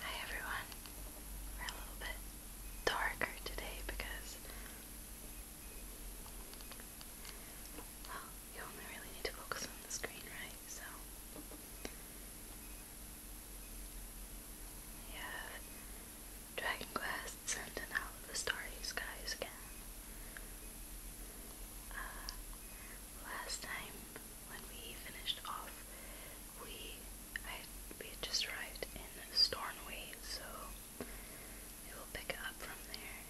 Hi everyone. We're a little bit darker today because well, you only really need to focus on the screen, right? So we Dragon Quest and out the Starry Skies again. Uh, last time when we finished off, we I we just arrived in Stornway, so it will pick up from there.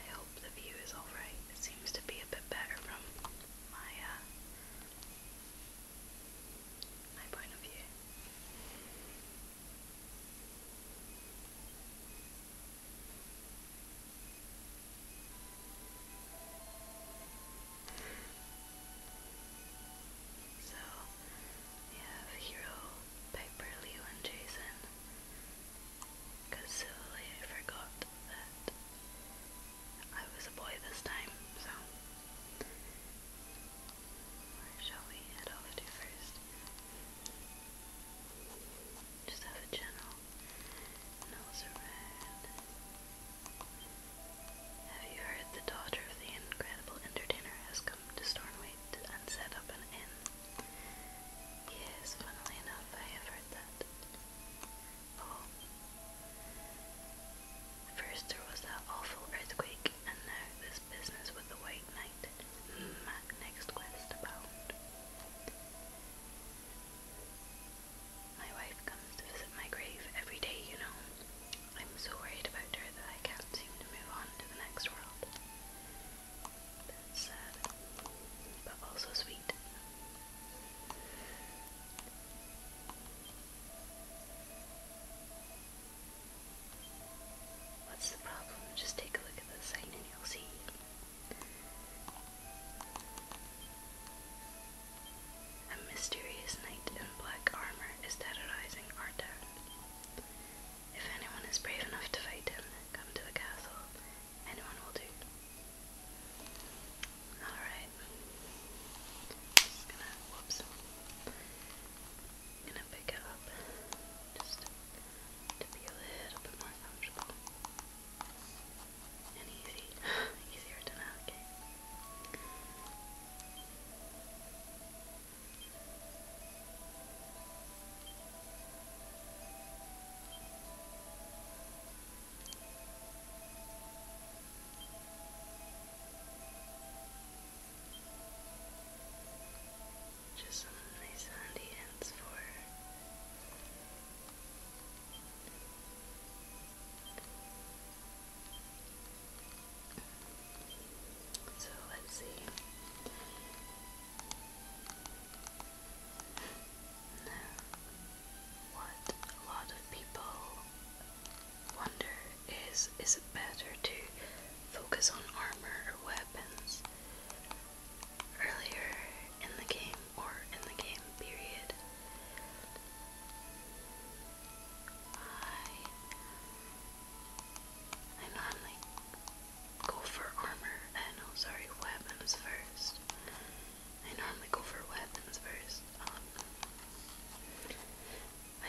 I hope the view is alright. It seems to be a bit better from my uh, my point of view. So we have Hero, Piper, Leo, and Jason. Because silly, uh, I forgot that I was a boy this time, so. Where shall we head off to first? Just have a general have you heard the daughter of the incredible entertainer has come to Stornwaite and set up an inn? Yes, funnily enough, I have heard that. Oh. First there was that awful earthquake, and now this business with the White Knight. Mm, next quest abound. My wife comes to visit my grave every day, you know. I'm so worried about her that I can't seem to move on to the next world. That's sad, but also sweet. What's the problem? Just take a look at the sign and you'll see. A mysterious knight in black armor is terrorizing our If anyone is brave enough to fight him, come to the castle. Anyone will do. Alright. Just gonna whoops. gonna pick it up just to be a little bit more and easy, Just some nice sandy ends for so let's see. what a lot of people wonder is is it better to focus on armor or weapons? earlier in the game or in the game period. I I normally go for armor and oh uh, sorry weapons first. I normally go for weapons first. Um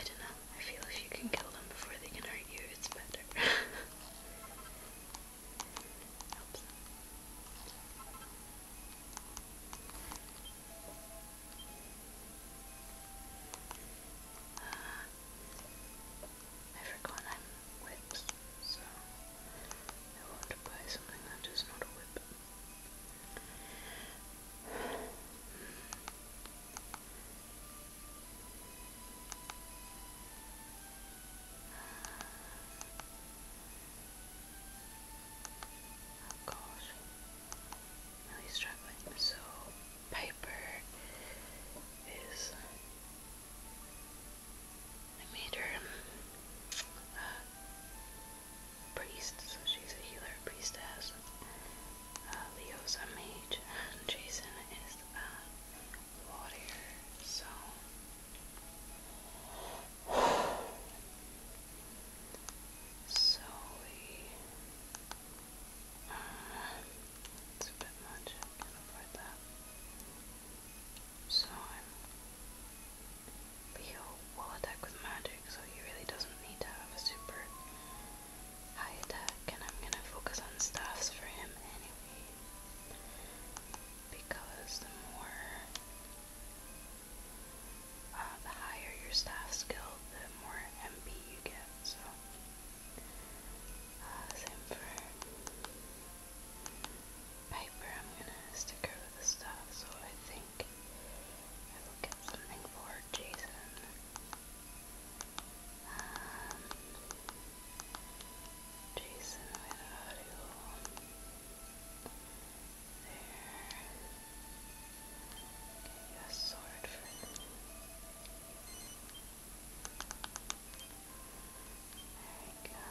I don't know. I feel if you can kill them before they can hurt you, it's better. Helps. Uh, I forgot I'm whips, so I want to buy something that is not a whip. Uh, Oh gosh. Really struggling. So Piper is I made uh, priest, so she's a healer, priestess. Uh, Leo's a mage, and Jason is a warrior, so so we um, it's a bit much, I can afford that. So I'm Leo will attack with magic, so he really doesn't need to have a super high attack, and I'm gonna focus on staffs for him anyway. Because the more uh, the higher your staff skill, the more MP you get. So, uh, same for Piper. I'm gonna stick with the staff, so I think I will get something for Jason. Um, Jason Widow. There. you a sword for him. There we go.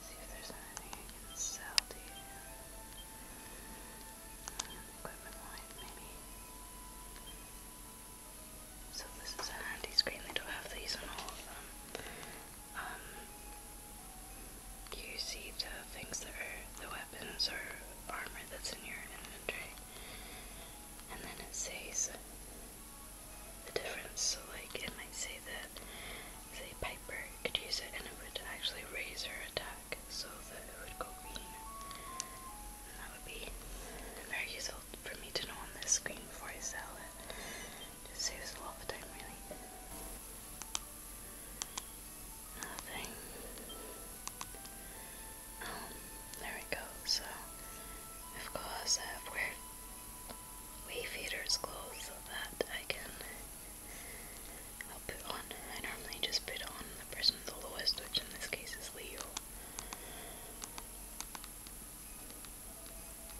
See if there's anything I can sell equipment line, maybe. So this is a handy screen. They don't have these on all of them um, you see the things that are the weapons or armor that's in your inventory, and then it says the difference. So, like, it might say that, say, Piper could use it and it would actually raise her attack so that it would go green. And that would be very useful for me to know on this screen before I sell it. Just saves a lot of time, really. Nothing. Um, there we go. So, of course, I have weird wave heaters closed so that I can. I'll put on. I normally just put on the person the lowest, which in this case is Leo.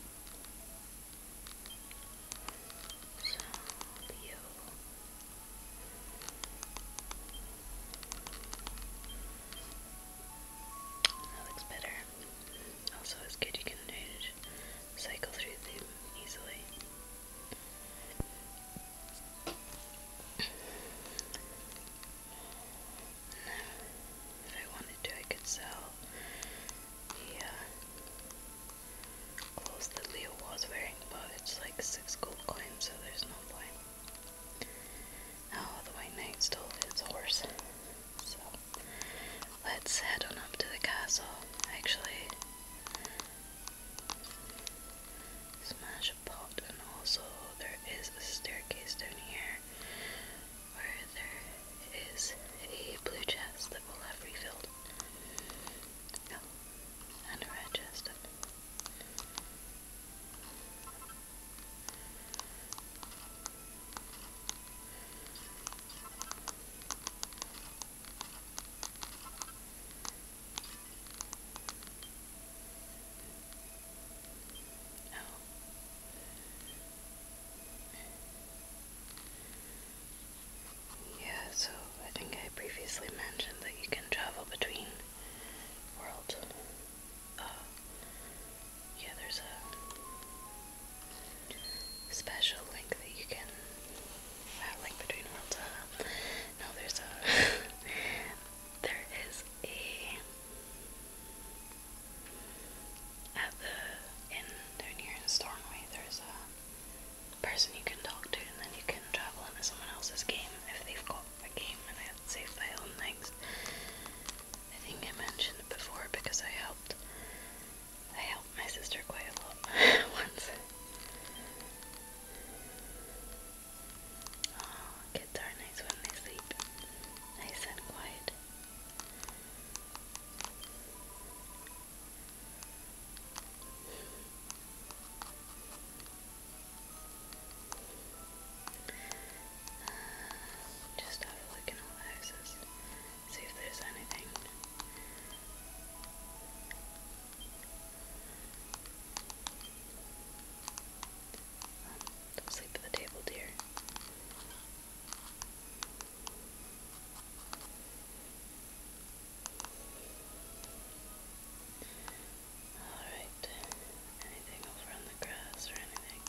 So beautiful. That looks better. Also, it's good you can cycle through them easily. Now, if I wanted to, I could sell he uh, clothes Leo was wearing, but it's like six gold coins, so there's no point. Now oh, the White Knight stole his horse, so let's head on up to the castle. Actually, smash a pot, and also there is a staircase down here where there is a blue chest that will have refilled. No, and a red chest. Oh. Yeah, so I think I previously mentioned that you can travel between worlds. Uh, yeah, there's a special link that you can. Uh, link between worlds. Uh, no, there's a. there is a. At the inn down here in Stornoway, there's a person you can talk to, and then you can travel into someone else's game if they've got a game and I had saved my own things. I think I mentioned it before because I helped. I helped my sister quite a lot once. kids are nice when they sleep. Nice and quiet. Uh, just have a look in all the houses, see if there's anything. Um, don't sleep at the table, dear. Alright, anything over on the grass or anything?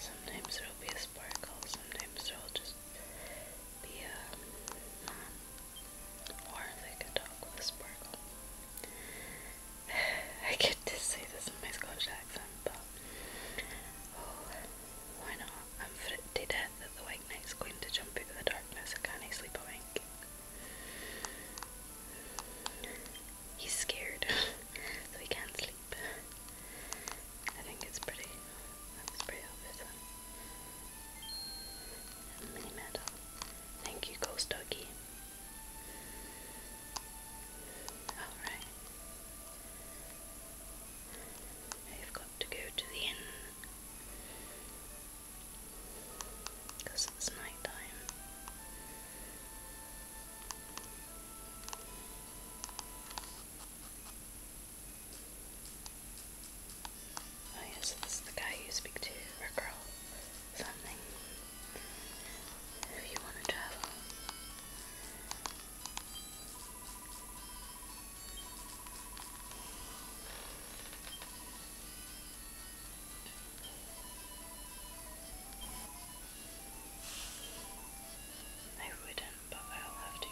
Sometimes there'll be a sparkle, sometimes there'll just be a. Um, or they could talk with a sparkle. I get to say this in my Scotch accent, but Oh, why not? I'm fretted to that the white knight's going to jump out the darkness. can't sleep a He's scared, so he can't sleep. I think it's pretty. That's pretty obvious. Mini metal. Thank you, Ghost Doggy. Alright. I've got to go to the inn because it's night time. Oh yes, this the guy you speak to, or girl, something. If you want to travel, I wouldn't, but I'll have to.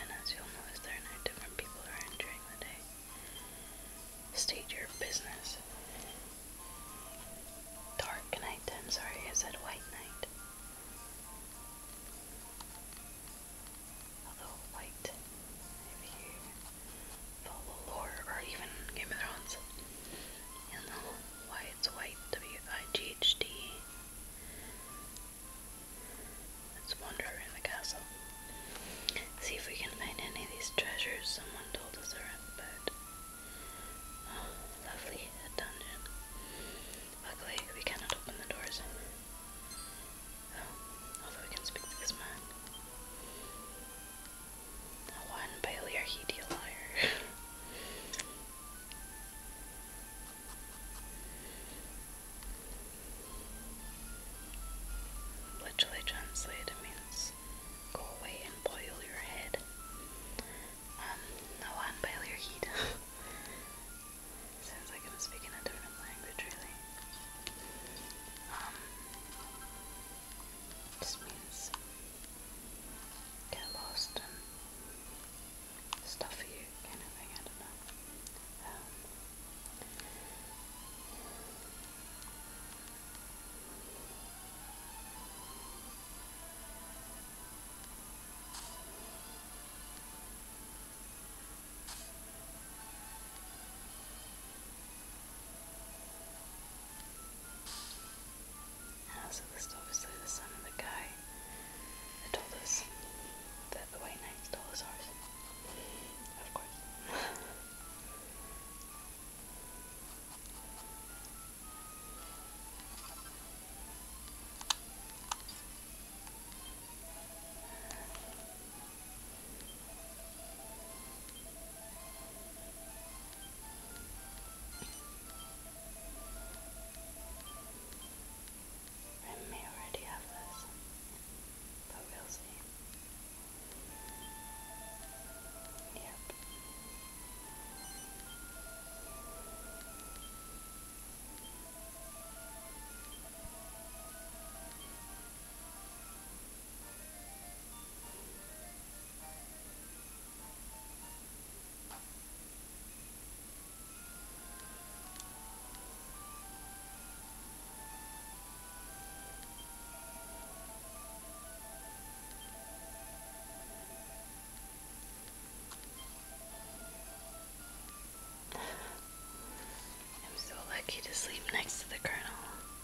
And as you'll notice, there are different people around during the day. State your business. Dark night, I'm sorry, I said white night although light, if lore or even Game of Thrones, you know why it's white, W I Let's wander around the castle. See if we can find any of these treasures someone told us are at, but... Oh, lovely, dungeon. Luckily, we cannot open the doors. Although we can speak to this man. One Bailey, are he a liar? Literally translated means go away and boil your head. Um, boil your heat. Sounds like I'm speaking a different language really. Um, means get lost and stuff for you kind of thing, I don't know. Um, uh, so obviously the son of the guy that told us that the White Knight stole his horse. Of course. I may already have this, but we'll see. Yep. I'm so lucky to sleep next to the colonel.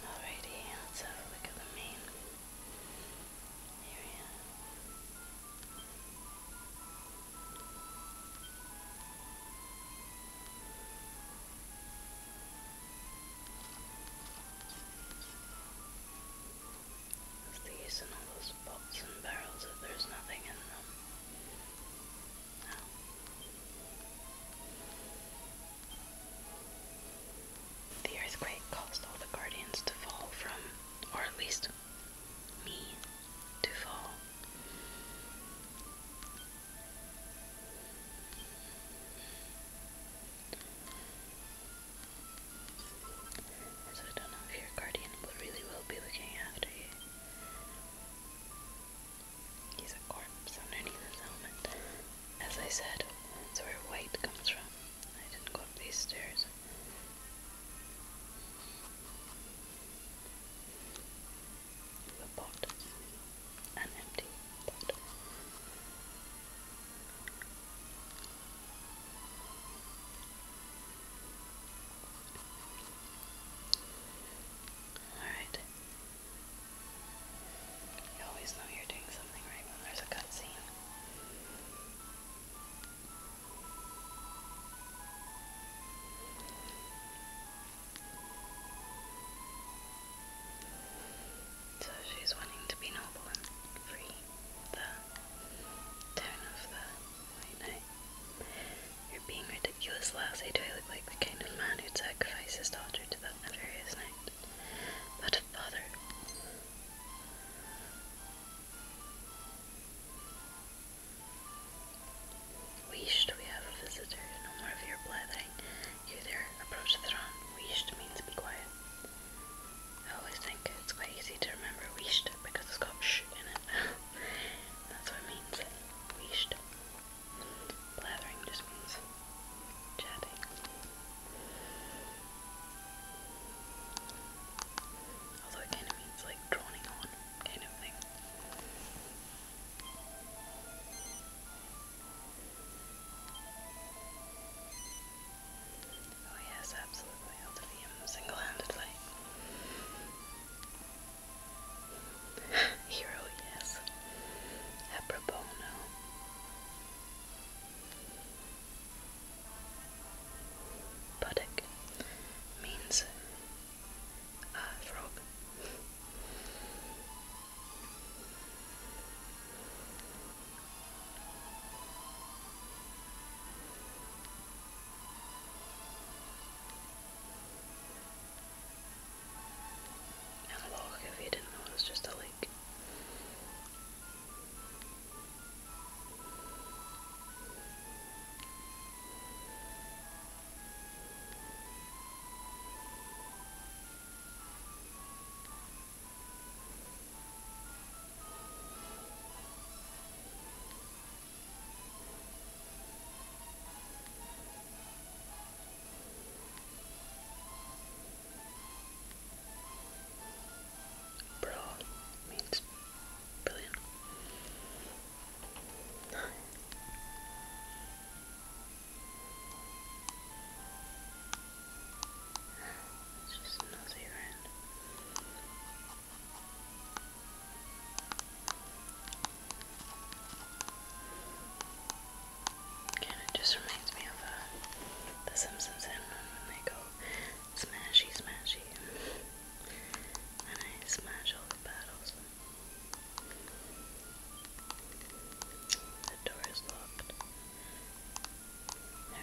Alrighty, let's have a look at the main area. Okay. What's the all those pots and barrels there's nothing in them? The earthquake caused all the guardians to fall from, or at least me to fall. So I don't know if your guardian really will be looking after you. He's a corpse underneath his helmet. As I said, that's where white comes from. I didn't go up these stairs. The pot. An empty pot. Alright. You always know you're doing something right when there's a cutscene. So she's wanting to be noble and free the tone of the, you you're being ridiculous, Lassie. Do I look like the kind of man who'd sacrifice his daughter to that nefarious night? But a father. Wished we have a visitor, no more of your blathering. You there, approach the throne. Wished means be quiet. I always think it's quite easy to remember wished because it's got sh in it. That's what it means. Blathering just means chatting. Although it kind of means like droning on kind of thing. Oh yes, absolutely. I'll defeat him um, single-handedly. Hero, yes. Apropos, no. Puddock means uh, frog. As if you didn't know, it was just a leak. Bro means brilliant. It's just nosy around it just reminds me of uh, The Simpsons and when they go smashy, smashy. And I smash all the battles. The door is locked. I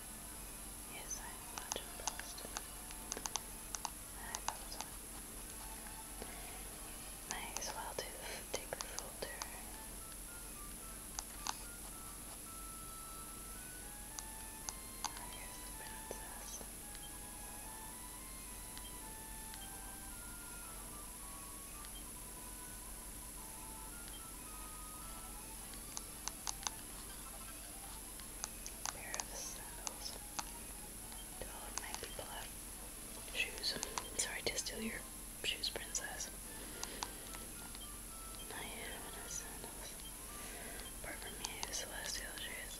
Yes, I am much impressed. I thought so. Might well do take the folder. Oh, ah, here's the princess. I a pair of sandals. all of my people have shoes. Sorry to steal your shoes, princess. I have enough sandals. Apart from me, I celestial shoes.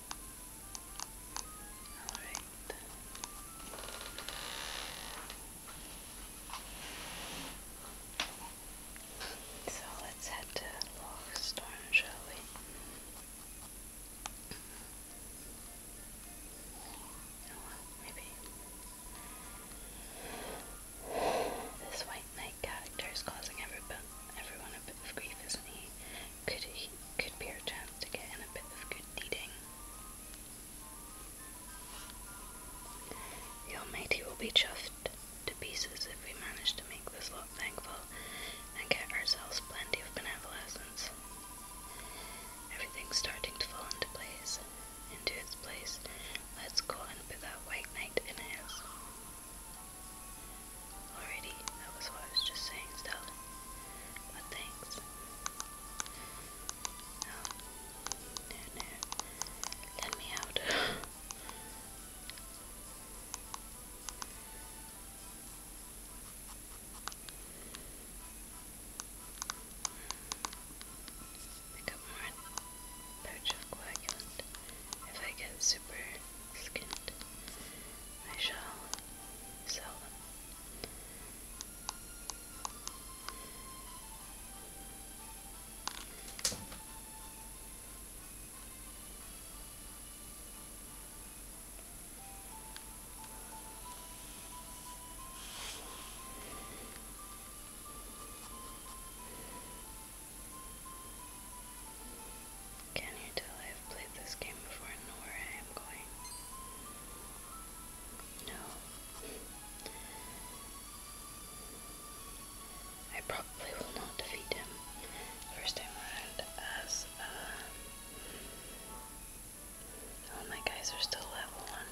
Alright. So let's head to Lochstorm, shall we? maybe this White Knight character is causing everyone a bit of grief, isn't he? Could he be our chance to get in a bit of good deeding? The Almighty will be chuffed to pieces if we manage to make this lot thankful and get ourselves plenty of benevolence. Everything's starting to fall into place. Into its place. Let's go and put that white knight in his. Already, that was what I was just saying, Stella. But thanks. No. No, Let me out. Pick more coagulant. If I get super skinned, I shall sell them. Can you tell I've played this game before and know where I am going? No. I probably will not defeat him first time around as uh all oh, my guys are still level one.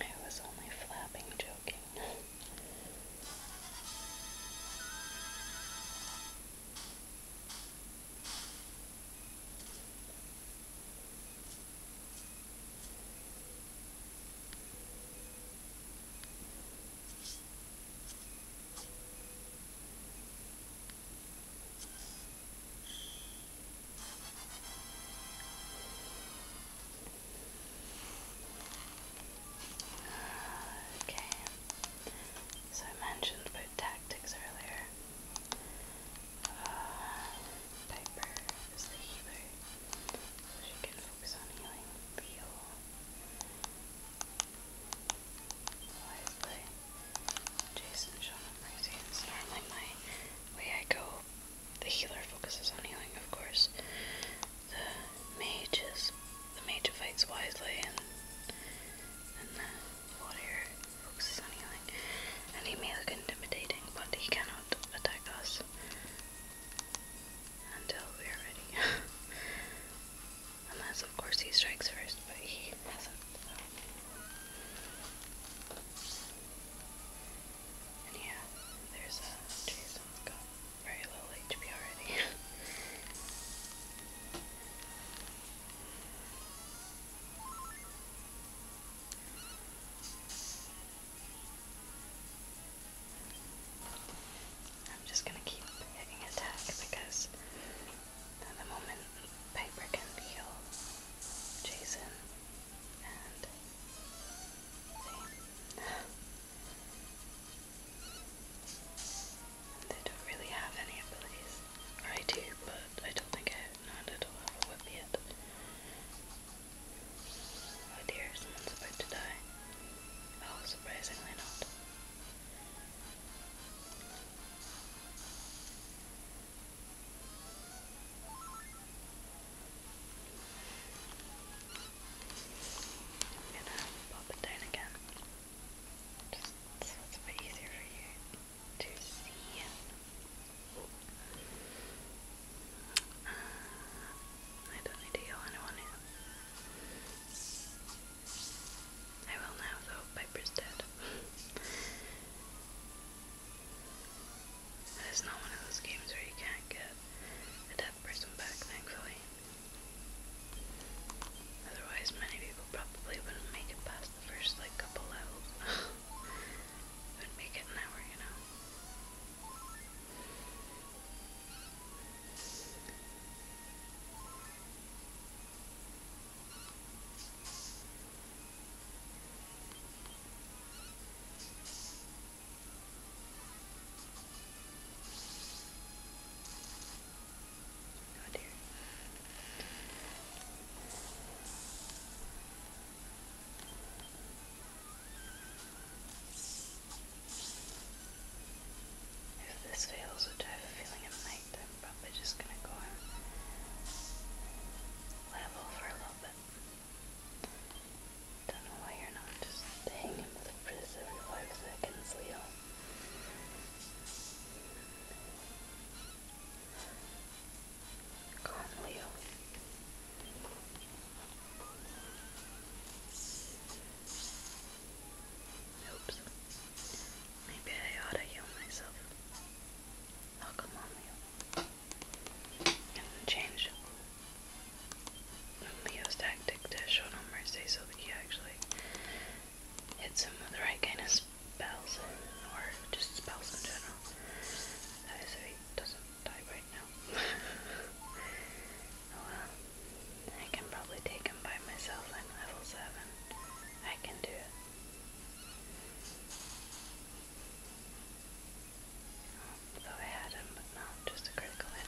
I was only flapping, joking. Okay, so I mentioned about tactics earlier. Uh, is the healer, so she can focus on healing Leo. Wisely, Jason, Sean, and Mercy. It's normally my way I go the healer focuses on healing, of course. The mage is the mage fights wisely, and the warrior focuses on healing. And he may look intimidating, but he cannot attack us until we are ready. Unless, of course, he strikes first, but he hasn't yeah, there's a uh, Jason's got very little HP already. I'm just gonna keep hitting attack because at the moment Piper can heal Jason they don't really have any abilities. I do, but I don't think I have none at all have yet. Oh dear, someone's about to die. Oh, surprisingly not. I'm gonna pop it down again. Just so it's a bit easier for you to see. I don't need to yell anyone in. I will now though, Piper's dead. And not one of those games where you can't get a deaf person back, thankfully. Otherwise, many people probably wouldn't make it past the first, like, couple levels. wouldn't make it an hour, you know? Oh dear. If this fails, which I have a feeling it might, I'm probably just gonna go level for a little bit. Don't know why you're not just hanging with the frizz every five seconds, Leo. Come Leo. Oops. Maybe I ought to heal myself. Oh, come Leo change Leo's tactic to show no actually hits him with the right kind of spells, or just spells in general. That is, so he doesn't die right now. Oh, well, I can probably take him by myself. I'm level 7. I can do it. Though I had him, but not just a critical hit.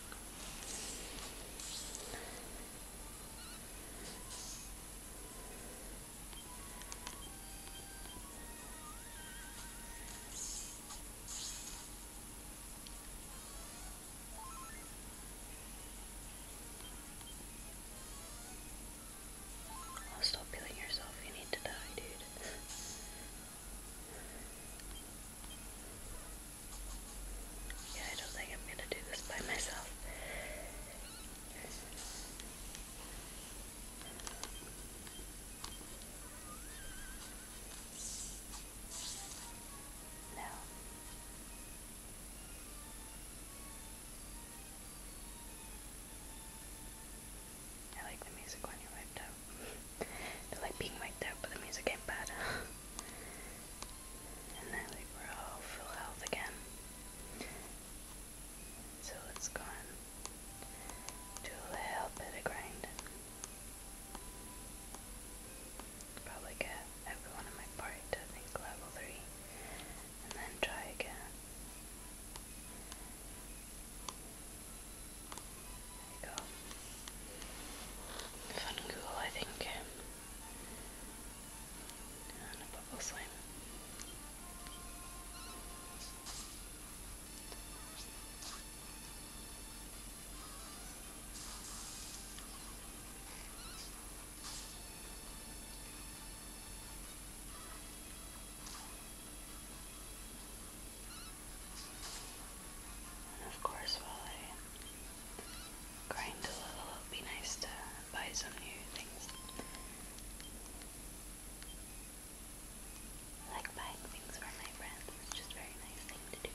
stop killing yourself, you need to die, dude. Yeah, I don't think I'm gonna do this by myself. No. I like the music when you're wiped out. I like being wiped out, but the music ain't bad. and then we're all full health again. So let's go and do a little bit of grinding. Probably get everyone in my party to I level 3 and then try again. There you I think. And a bubble slime. And of course, while I grind a little, it'll be nice to buy some new things. I like buying things for my friends, it's just very nice thing to do.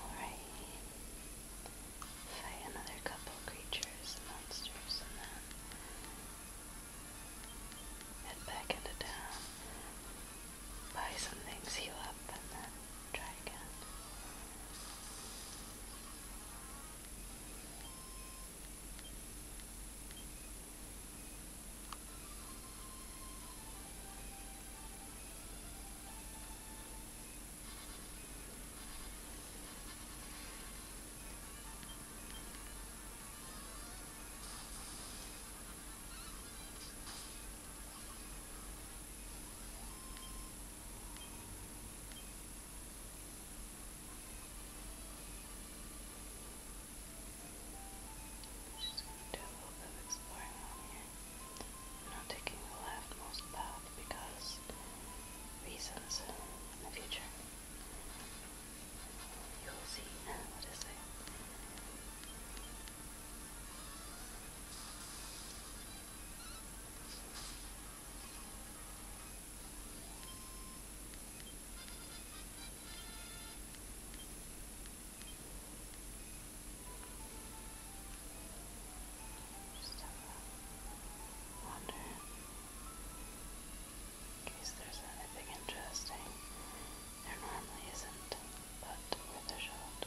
Alright. Fight another couple creatures monsters and then head back into town. Buy some things, heal up, and then try again. Just going to do a little bit of exploring on here. I'm not taking the leftmost path because reasons in the future. You will see what is it. Now just have a wander in case there's anything interesting. There normally isn't, but with a shot.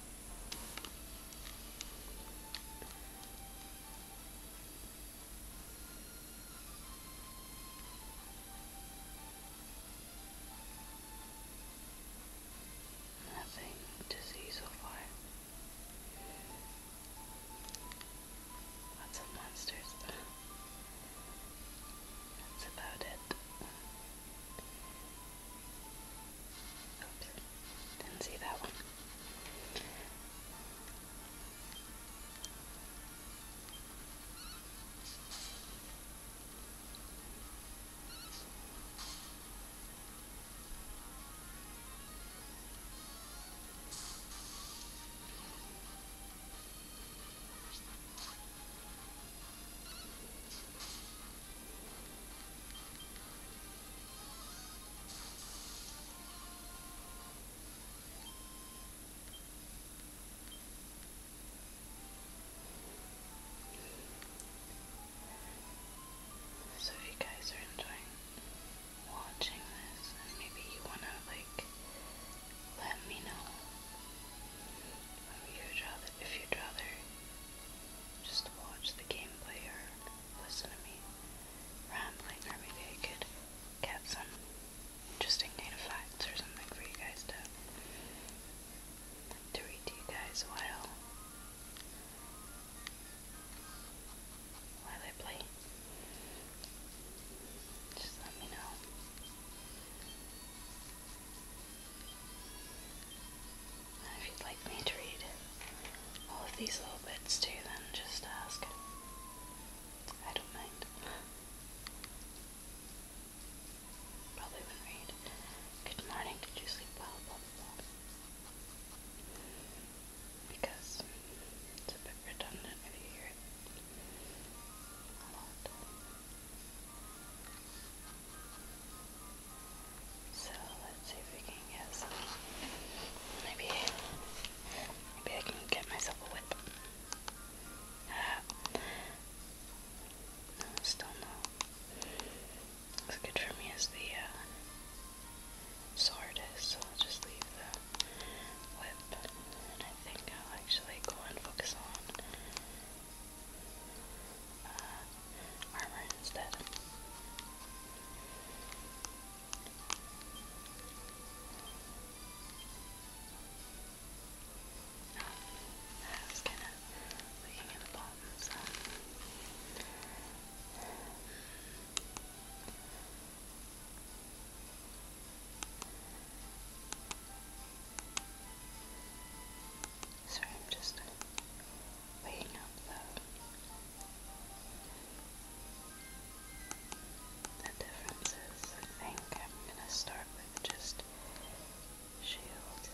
Nothing, disease or fire. Lots of monsters. That's about it. Oops, didn't see that one. So if you guys are enjoying watching this and maybe you wanna like let me know if you'd rather if you'd rather just watch the gameplay or listen to me rambling, or maybe I could get some interesting data facts or something for you guys to to read to you guys while while I play. Just let me know if you'd like me to read all of these little bits too, then just ask. I don't mind. Probably wouldn't read. Good morning, did you sleep well? Blah, blah, blah. Because it's a bit redundant if you hear it a lot. So let's see if we can get some. Maybe, maybe I can get myself a whip. Ah, still no. What's good for me is the uh, sword is, I'll just leave the whip. And I think I'll actually go and focus on uh, armor instead. Oh, I was kind of looking at the bottom, so. Sorry, I'm just being up though. The difference I think I'm gonna start with just shield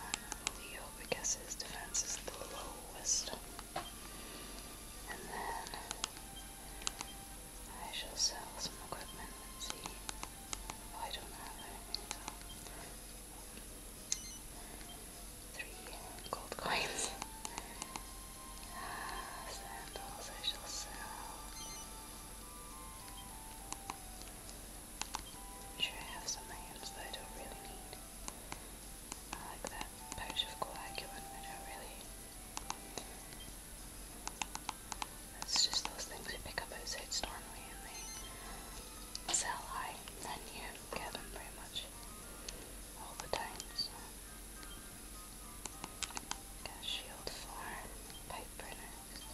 on Leo because his defense is the lowest. And then I shall sell some equipment and see. Oh, I don't have anything, so Three gold coins. Uh, sandals I shall sell. i I have some items that I don't really need. I like that pouch of coagulant, I don't really. That's just those things you pick up outside Stormway and sell high you get pretty much all the time. shield for pipe printers.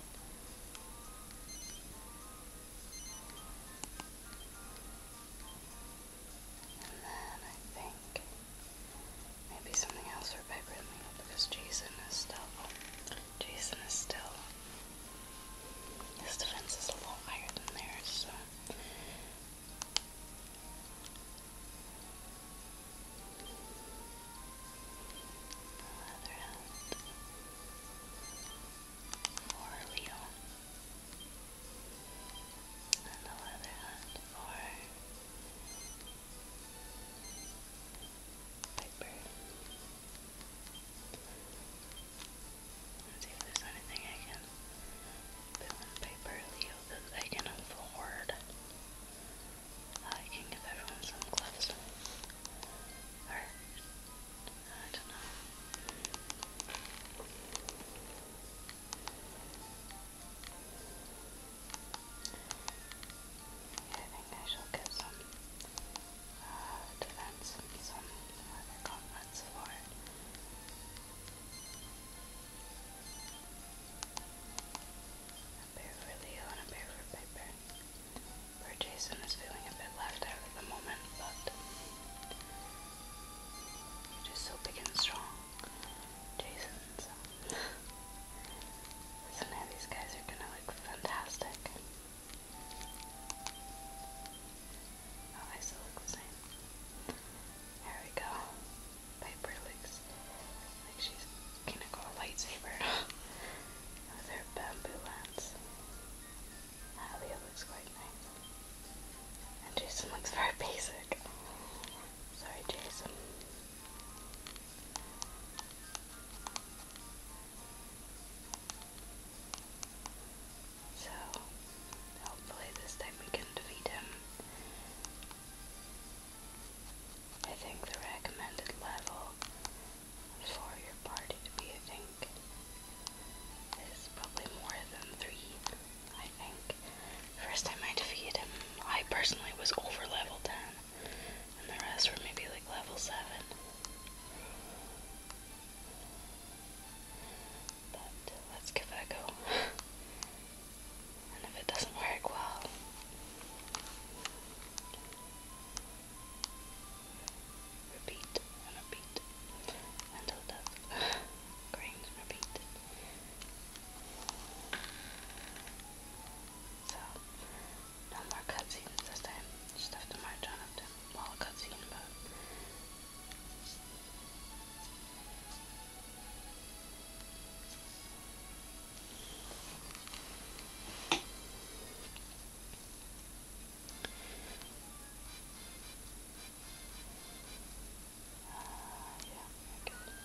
And then I think maybe something else for pipe printing because Jason is still Jason is still his defense is a little higher than theirs, so. Other hand. For And the other hand for Piper. Let's see if there's anything I can put on paper, Leo, that I can afford. Uh, I can give everyone some gloves. Or, I don't know. I think I shall get some uh, A pair for Leo and a pair for Piper. Poor Jason is feeling a bit left out at the moment, but you're just so big and strong. Jason's. so now these guys are gonna look fantastic. Oh, I still look the same. There we go. Piper looks like she's gonna go a lightsaber with her bamboo lance. Alia looks quite nice. And Jason looks very basic. Sorry, Jason. So, hopefully, this time we can defeat him. I think the recommended level for your party to be, I think, is probably more than three. I think. First time I defeated him, I personally was over level 10, and the rest were maybe like level 7. But let's give it a go. and if it doesn't work, well, repeat and repeat until it does. repeat. So, no more cutscenes this time. Just have to march on up to while cutscene mode. Uh, yeah, okay.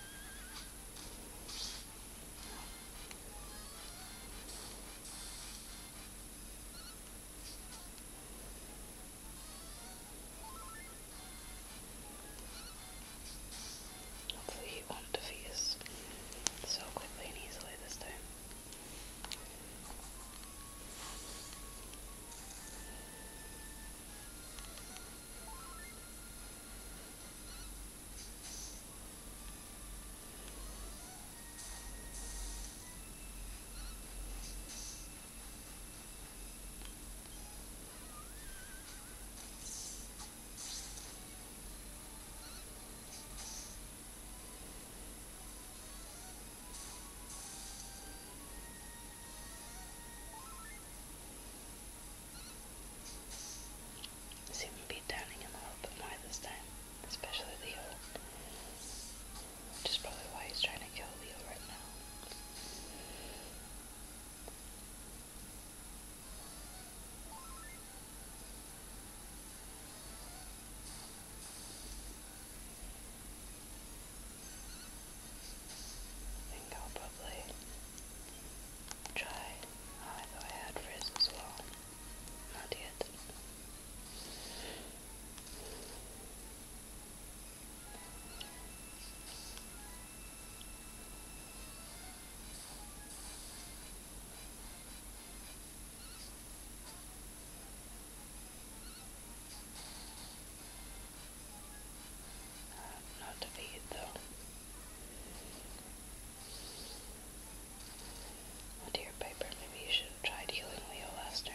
Hopefully it won't defeat us so quickly and easily this time seem to be turning him a little bit more this time, especially the old which is probably why he's trying to kill Leo right now. I think I'll probably try. Oh, I thought I had Frizz as well. Not yet. Not to feed though. Well, dear Piper, maybe you should tried healing Leo last turn.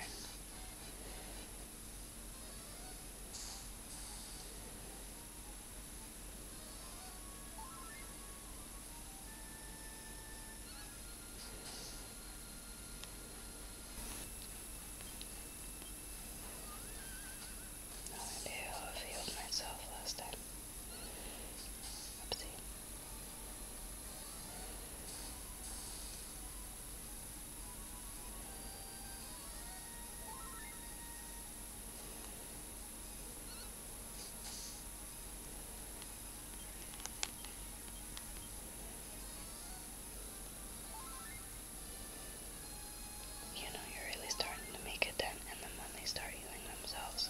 I do have healed myself last time. Oopsie. You know, you're really starting to make a dent in them when they start healing themselves.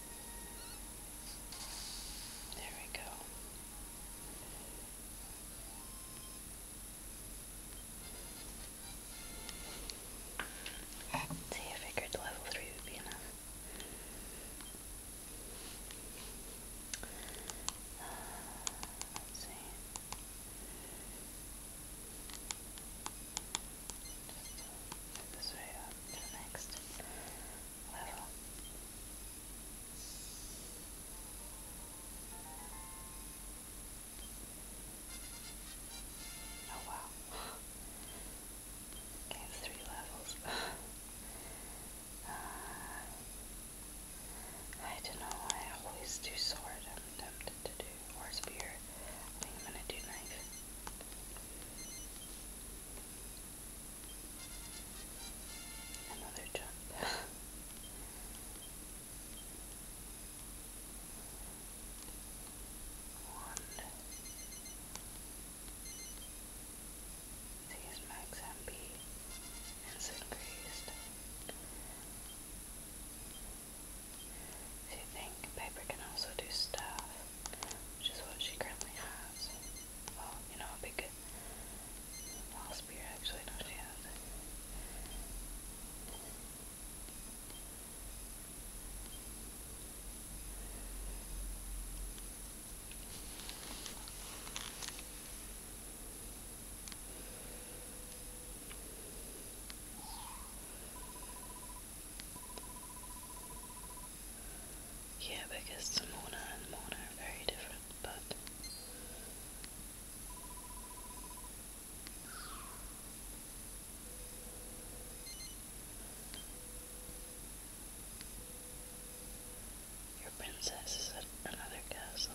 There we go. Ah, see, I figured level 3 would be enough. Uh, let's see just to this way up uh, to the next level. Oh wow. Okay, three levels. Uh, I don't know, I always do sword, I'm tempted to do, or spear. I think I'm gonna do knife. Another jump. One. These max MP is increased. If you think paper can also do stuff, which is what she currently has. Well, you know, a big ball spear, actually, no, she has it. Yeah, because Mona and Mona are very different, but. Your princess is at another castle.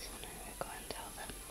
So now we go and tell them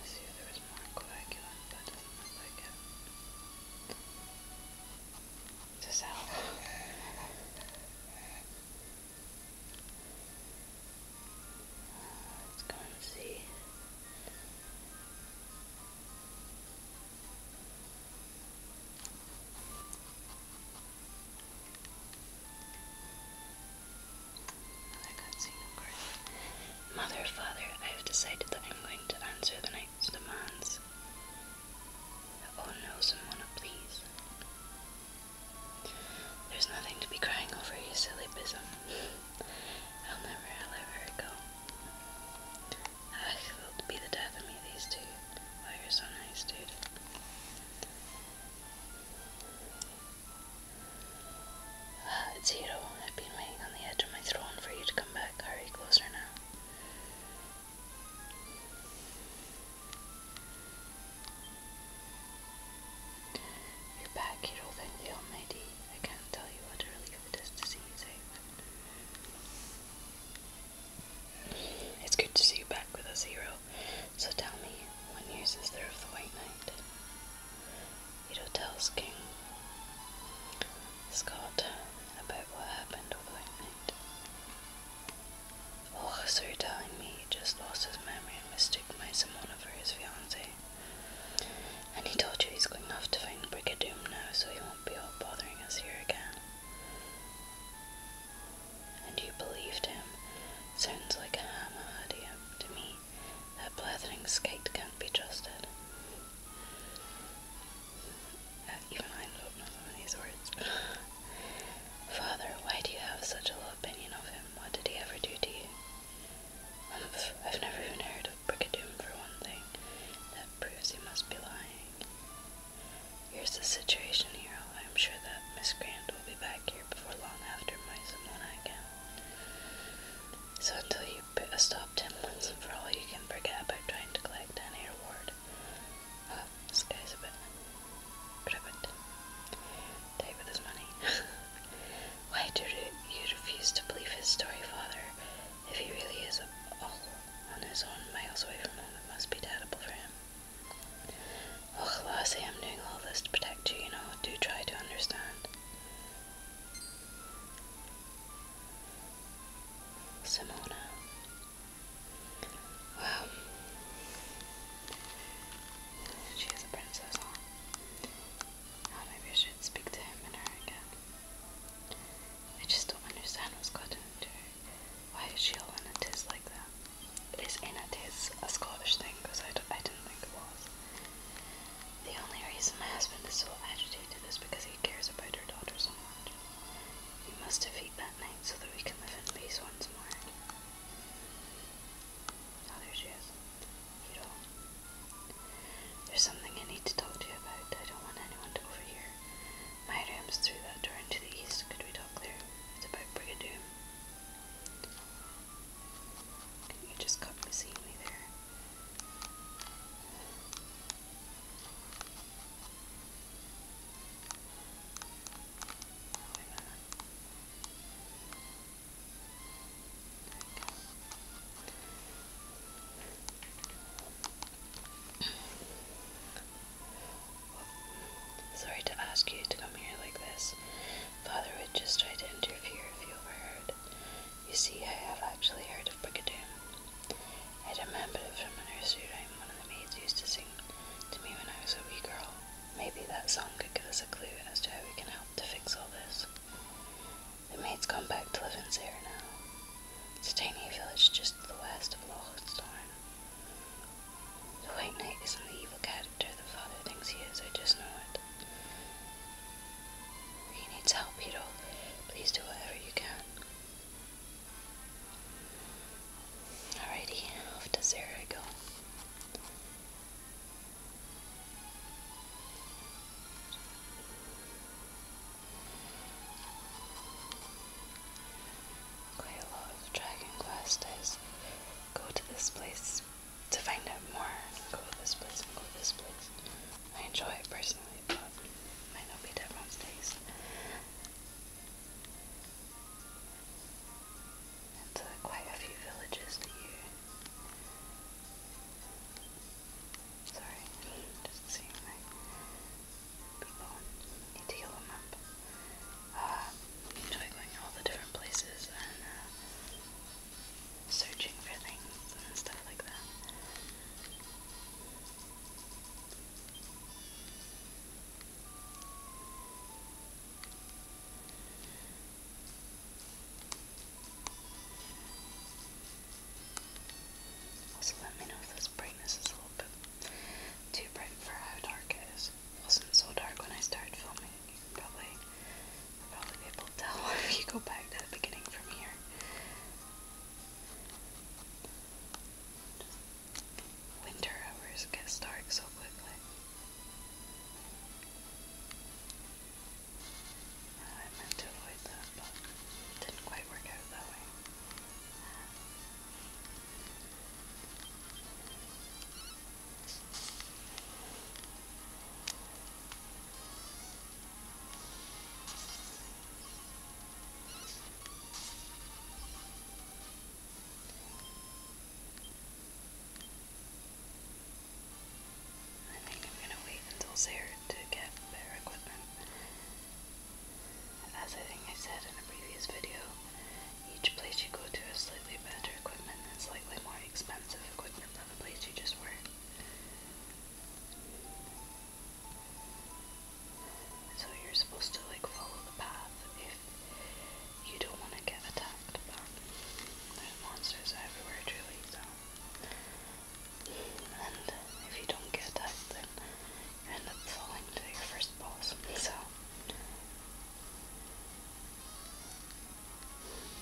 I see if there is more coagulant, that doesn't look like it. Does that help? Let's go and see. Mother, Father, I have decided that I'm going to answer the knight's demands. Oh no, someone, please. There's nothing to be crying over, you silly bism. I'll never, I'll let go. Ah, it will be the death of me, these two. Why oh, you so nice, dude. Ah, I've been waiting on the edge of my throne for you to come back. Hurry closer now. You're back, Hiro. Thank the Almighty. I can't tell you what a relief it is to see you safe. It's good to see you back with us, hero. So tell me, what news is there of the White Knight? You don't tell tells King Scott about what happened on the White Knight. Oh, so you're telling me he just lost his memory and mistook my Simona for his fiancée. And he told you he's going off to find Brigadoon now, so he won't be all bothering us here again. And you believed him. Sounds like a hammer idea to me. That blathering skate can't be trusted. Uh, even I don't know some of these words. Father, why do you have such a low opinion of him? What did he ever do to you? I've, I've never even heard of Brigadoon for one thing. That proves he must be lying. Here's the situation, Hero. I am sure that Miss Grant will be back here before long after my someone I can. So until you uh, stopped him once and for all, you can forget about trying to collect any reward. Oh, this guy's a bit private. Take with money. Why do you refuse to believe his story, Father? If he really is all on his own miles away from home, it must be terrible for him. Oh, Lassie, I'm doing all this to protect you, you know. Do try to understand. Simona. Wow. She is a princess, maybe I should speak to him and her again. I just don't understand what's gotten into why is she all in a tiz like that? Is in a tiz a Scottish thing? Because I, I didn't think it was. The only reason my husband is so agitated is because he cares about her daughter so much. We must defeat that night so that we can live in peace once more. Ah, there she is. Hiro. There's something I need to talk to you about. I don't want anyone to overhear. My room's through that door into the east. Could we talk there? It's about Brigadoon. You just got to seeing me there. Sorry to ask you to come here like this. Father would just try to interfere if you overheard. You see, I have actually heard of Brigadoon. I remember it from a nursery rhyme one of the maids used to sing to me when I was a wee girl. Maybe that song could give us a clue as to how we can help to fix all this. The maids has gone back to live in Sarah now. It's a tiny village just to the west of Lochstorn. The White Knight isn't the evil character the father thinks he is, I just know it. He needs help, Peter. Please do whatever you can. Alrighty, off to Sarah go quite a lot of Dragon Quest go to this place to find out more, go to this place and go to this place. I enjoy it personally, but might not be everyone's taste. It's uh, quite a few villages that you. Sorry, just seeing my people need to heal them up. Uh, enjoy going all the different places and uh, searching for things and stuff like that. Also, let me know if brightness is a little bit too bright for how dark it is. It wasn't so dark when I started filming. probably, probably be tell if you go back to the beginning from here. Winter hours gets dark so quickly. I meant to avoid that, but didn't quite work out that way. I think I'm going to wait until Sarah to get better equipment as I think I said in a previous video, each place you go to has slightly better equipment and slightly more expensive equipment than the place you just were. So you're supposed to like follow the path if you don't want to get attacked, there's monsters everywhere truly, so and if you don't get attacked then and that's all I'm first pause. So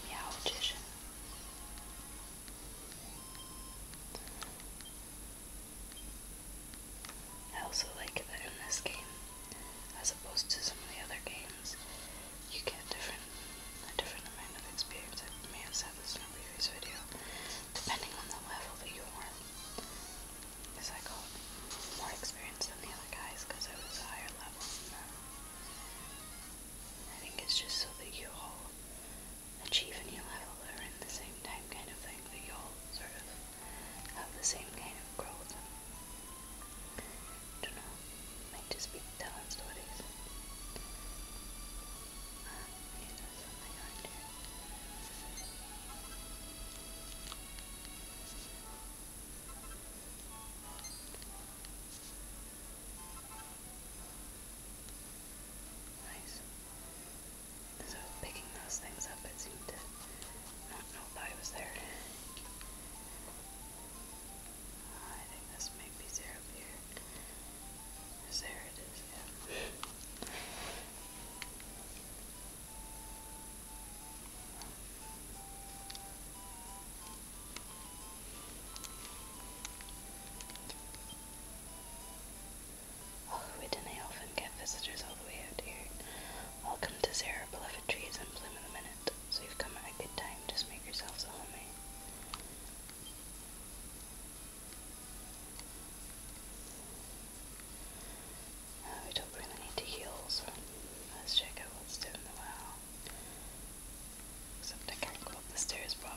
Meow audition. I also like that in this game, as opposed to some of the other games, you get different a different amount of experience. I may have said this in a previous video, depending on the level that you are. Because I got more experience than the other guys because I was a higher level. I think it's just so that you all achieve a new level around the same time kind of thing, that you all sort of have the same kind of growth. I don't know, might just be talent stories. Uh, maybe there's something around here. Nice. So picking those things up, it seemed to not know that I was there. Oh, I think this might be zero here. There it is, yeah. Hollywood, and I often get visitors all the way out here. Welcome to Zara, Beloved Trees and Bloom in a Minute. So you've come at a good time, just make yourselves a home. Eh? Uh, we don't really need to heal, so let's check out what's down the well. Except I can't go up the stairs properly.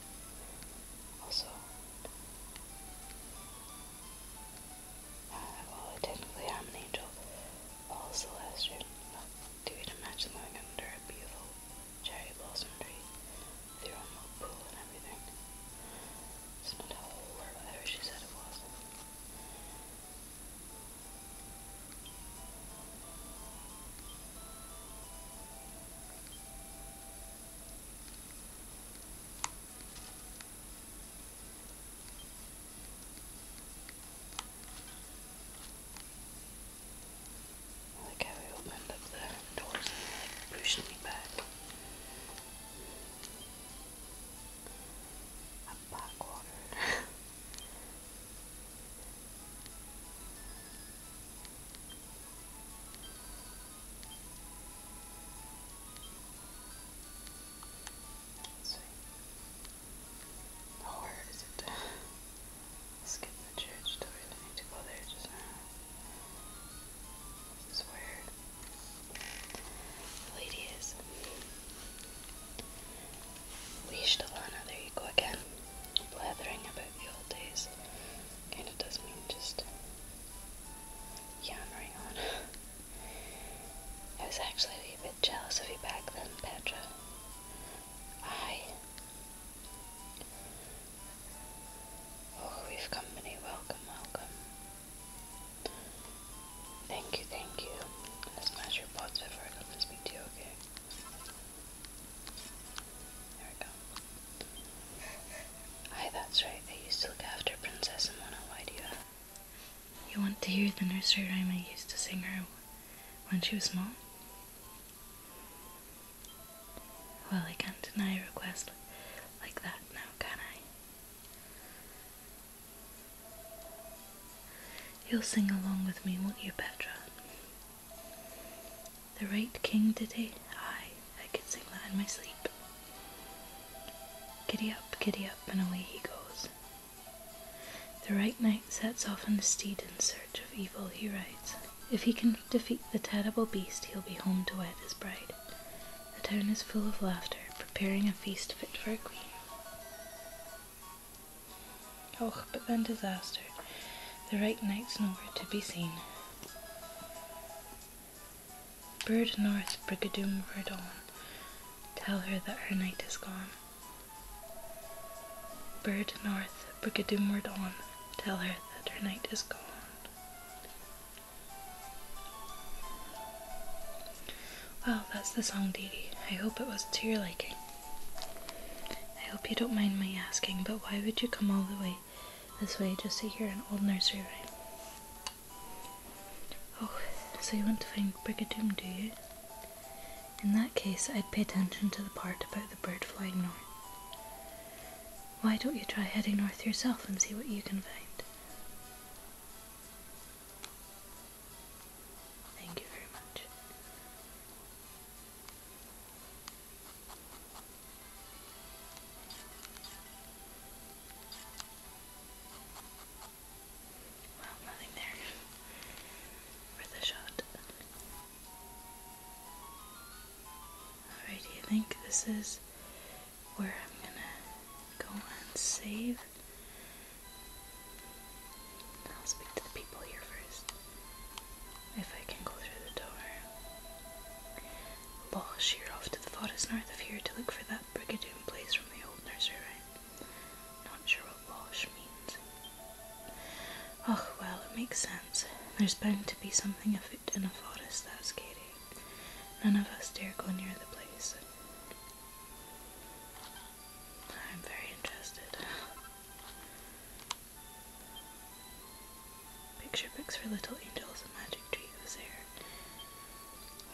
Also, well, technically I'm an angel. All Celestial, do it a living under a beautiful cherry blossom tree with your pool and everything. It's not a whole word, whatever she said it was. Look how he opened up the doors and like pushed me back. A backwater. Sweet. Oh, it skip the church door? need to go there just where lady is. Leashed there you go again. Blathering about the old days. Kind of does mean just yammering on. I was actually a bit jealous of you back then, Petra. I. Oh, we've company. Welcome, welcome. Thank you, thank you. Let's smash your pots before I come and speak to you, okay? There we go. Hi, that's right. They used to look after Princess Amona. Why do You want to hear the nursery rhyme I used to sing her when she was small? Well, I can't deny a request like that now, can I? You'll sing along with me, won't you, Petra? The right king, did he? Aye, I could sing that in my sleep. Giddy up, giddy up, and away he goes. The right knight sets off on his steed in search of evil he rides. If he can defeat the terrible beast, he'll be home to wed his bride. The town is full of laughter, preparing a feast fit for a queen. Och, but then disaster. The right knight's nowhere to be seen. Bird North Brigadoon Verdon, tell her that her night is gone. Bird North Brigadoon Verdon, tell her that her night is gone. Well, that's the song, Dee Dee. I hope it was to your liking. I hope you don't mind my asking, but why would you come all the way this way just to hear an old nursery rhyme. Oh, so you want to find Brigadoon, do you? In that case, I'd pay attention to the part about the bird flying north. Why don't you try heading north yourself and see what you can find? Thank you very much. Well, nothing there worth a shot. Alrighty, I think this is where I'm gonna go and save. I'll speak to the people here first. If I can go through the door. Ball sheer off to the forest north of here to look for that Brigadoon place from the old nursery rhyme. Not sure what Bosh means. Oh, well, it makes sense. There's bound to be something afoot in a forest that's scary. None of us dare go near the place. I'm very interested. Picture books for little angels, a magic tree was there.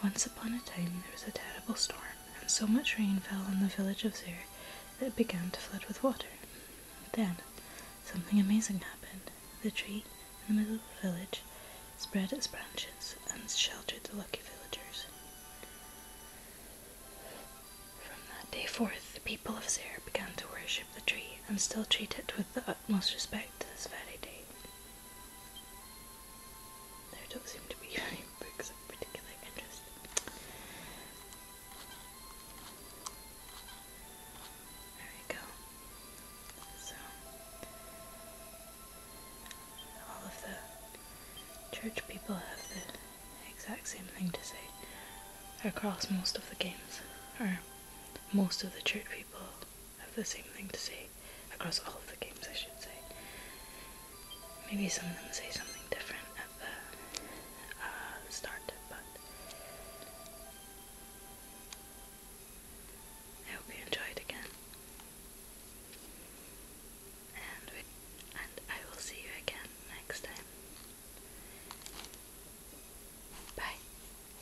Once upon a time there was a terrible storm, and so much rain fell on the village of Zir that it began to flood with water. Then, something amazing happened. The tree in the middle of the village spread its branches and sheltered the lucky villagers. From that day forth, the people of Zir began to worship the tree and still treat it with the most respect to this very day. There don't seem to be any books of particular interest. There we go. So, all of the church people have the exact same thing to say across most of the games, or most of the church people have the same thing to say across all of the games, I should say. Maybe some of them say something different at the uh, start, but I hope you enjoyed again. and I will see you again next time. Bye.